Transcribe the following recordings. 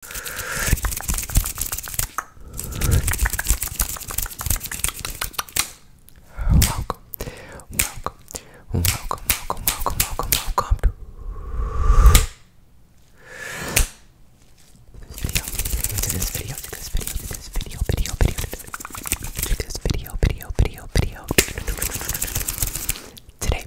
Welcome, welcome, welcome, welcome, welcome, welcome, welcome to this video, this video, this video, this video, video, video, this video, video, video, video. Today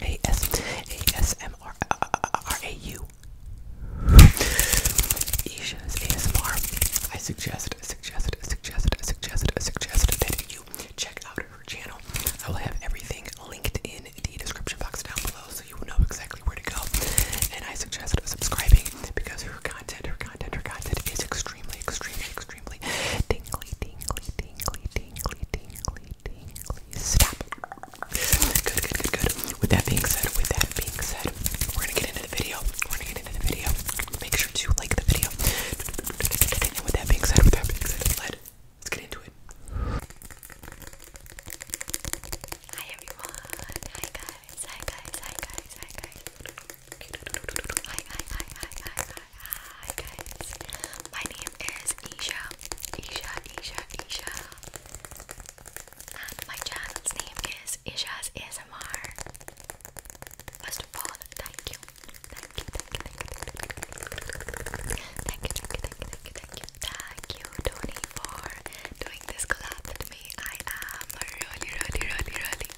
A-S-A-S-M-R-A-U. Isha's ASMR. I suggest, suggest, suggest, suggest, suggest that you check out her channel. I will have everything linked in the description box down below so you will know exactly where to go. And I suggest subscribing because her content, her content, her content is extremely, extremely, extremely tingly, tingly, tingly, tingly, tingly, tingly, tingly, Stop. Good, good, good, good. With that being said, with that being said, we're gonna get into the video. We're gonna get into the video. Make sure to like the video. with that being said, with that being said, let's get into it. Hi everyone. Hi guys. Hi guys. Hi guys. Hi guys. Hi hi hi hi hi hi hi guys. My name is Isha. Isha, Isha, Isha. And my channel's name is Isha's ASMR. First of all, thank you. Thank you, thank you, thank you, thank you. Thank you, thank you, thank you, thank you, thank you. Thank you, Tony, for doing this collab with me. I am really, really, really, really,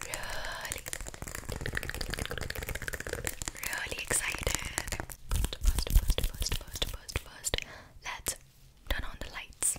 really, really excited. First, first, first, first, first, first, first. Let's turn on the lights.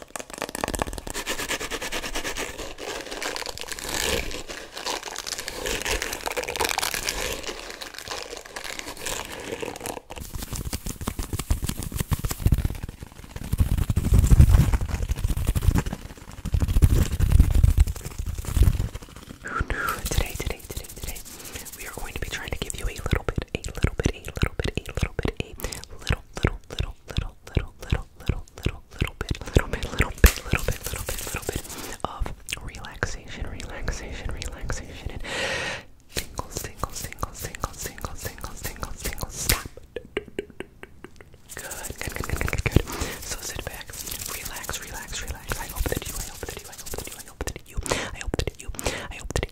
Today, today, today, today, we are going to be trying to give you a little bit, a little bit, a little bit, a little bit, a little little, little, little, little, little, little, little, little, little bit, little bit, little bit, little bit, little bit, little bit of relaxation, relaxation, relaxation, and tingles, tingles, tingles, tingles, tingles, tingles, tingles, tingles. Stop. Good, good, good, good, good, good. So sit back, relax, relax, relax. I hope that you, I hope that you, I hope that you, I hope that you, I hope that you, I hope that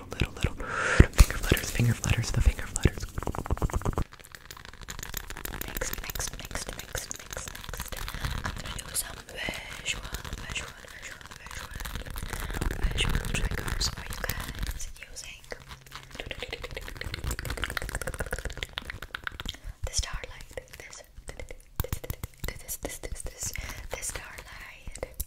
little, little, finger flutters, finger flutters, the finger flutters. Next, next, next, next, next, next. I'm gonna do some visual, visual, visual, visual, visual triggers for you guys using the starlight. This, this, this, this, this, this, this starlight.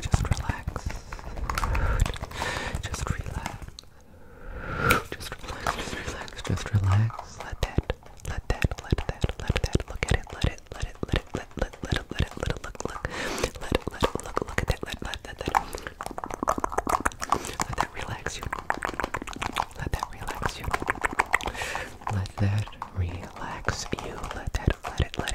Just relax. Just relax. Just relax. Just relax. Just relax. Let that. Let that. Let that. Let that. Look at it. Let it. Let it. Let it. Let let let it. Let it. Let it. Look. Look. Let it. Let it. Look. Look at that. Let let let that. Let that relax you. Let that relax you. Let that relax you. Let that. Let it. Let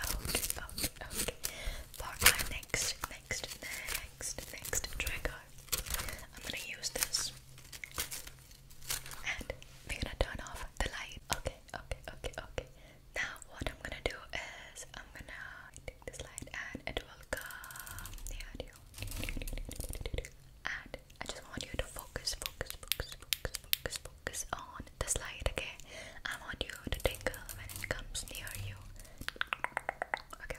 oat, oat, oat for my next, next, next, next trigger. I'm gonna use this. And we're gonna turn off the light. Okay, okay, okay, okay. Now what I'm gonna do is I'm gonna take this light and it will come near you. And I just want you to focus, focus, focus, focus, focus, focus on on this light, okay? I want you to tingle when it comes near you. Okay.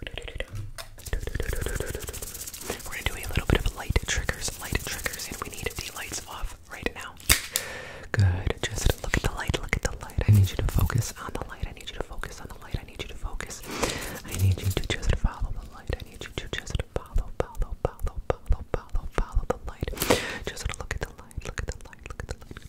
We're gonna do a little bit of light triggers, light triggers, and we need the lights off right now. Good. Just look at the light, look at the light. I need you to focus on the light. I need you to focus on the light. I need you to focus. I need you to just follow the light. I need you to just follow, follow, follow, follow, follow, follow the light. Just look at the light, look at the light, look at the light.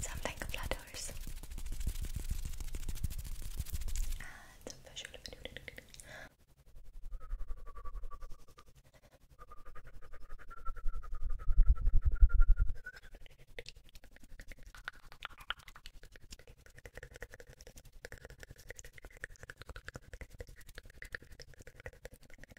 Something flutters. And the visual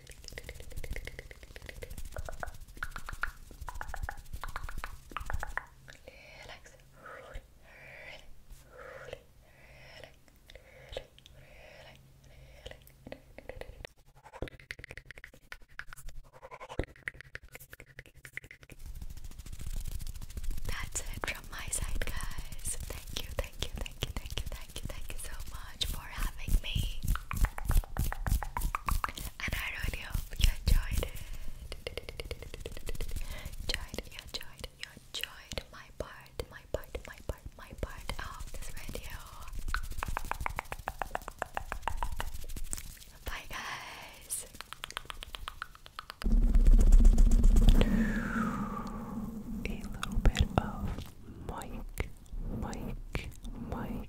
Relax. Relax. Relax. Relax. That's it from my side, guys. Thank you, thank you, thank you, thank you, thank you, thank you so much much for having me. And I really hope you enjoyed Enjoyed, enjoyed, enjoyed my part, my part, my part, my part of this video. Bye, guys. A little bit of mic, mic, mic,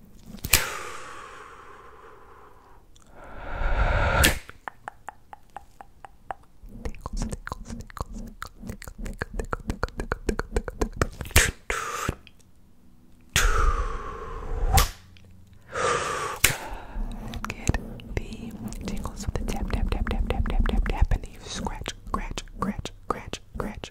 Tickles, tickles, tickles, tickles, Get the tingles with the tap, tap, tap, tap, tap, tap, tap, tap, and then you scratch, scratch, scratch, scratch, scratch,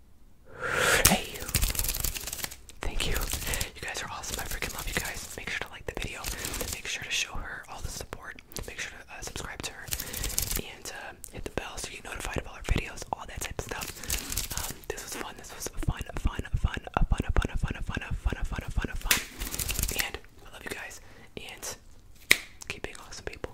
Hey, Thank you. You guys are awesome. I freaking love you guys. Make sure to like the video. Make sure to show her all the support. Make sure to subscribe to her and hit the bell so you are notified of all our videos, all that type of stuff. this was fun. This was fun, fun, fun, a fun, a fun, a fun, a fun, a fun, a fun, a fun, a fun. And I love you guys. And keep being awesome people.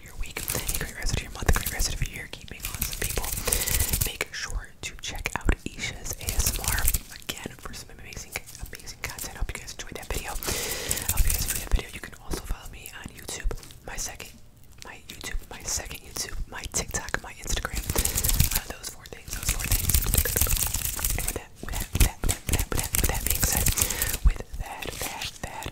to your week, a great rest your month, a great rest your year. Keep awesome people. Make sure to check out Isha's ASMR again for some amazing, amazing content. I hope you guys enjoyed that video. I hope you guys enjoyed that video. You can also follow me on YouTube, my second, my YouTube, my second YouTube, my TikTok, my Instagram. Uh, those four things, those four things. with that, with that, with that, with that, with that, with that, with that being said, with that, that, that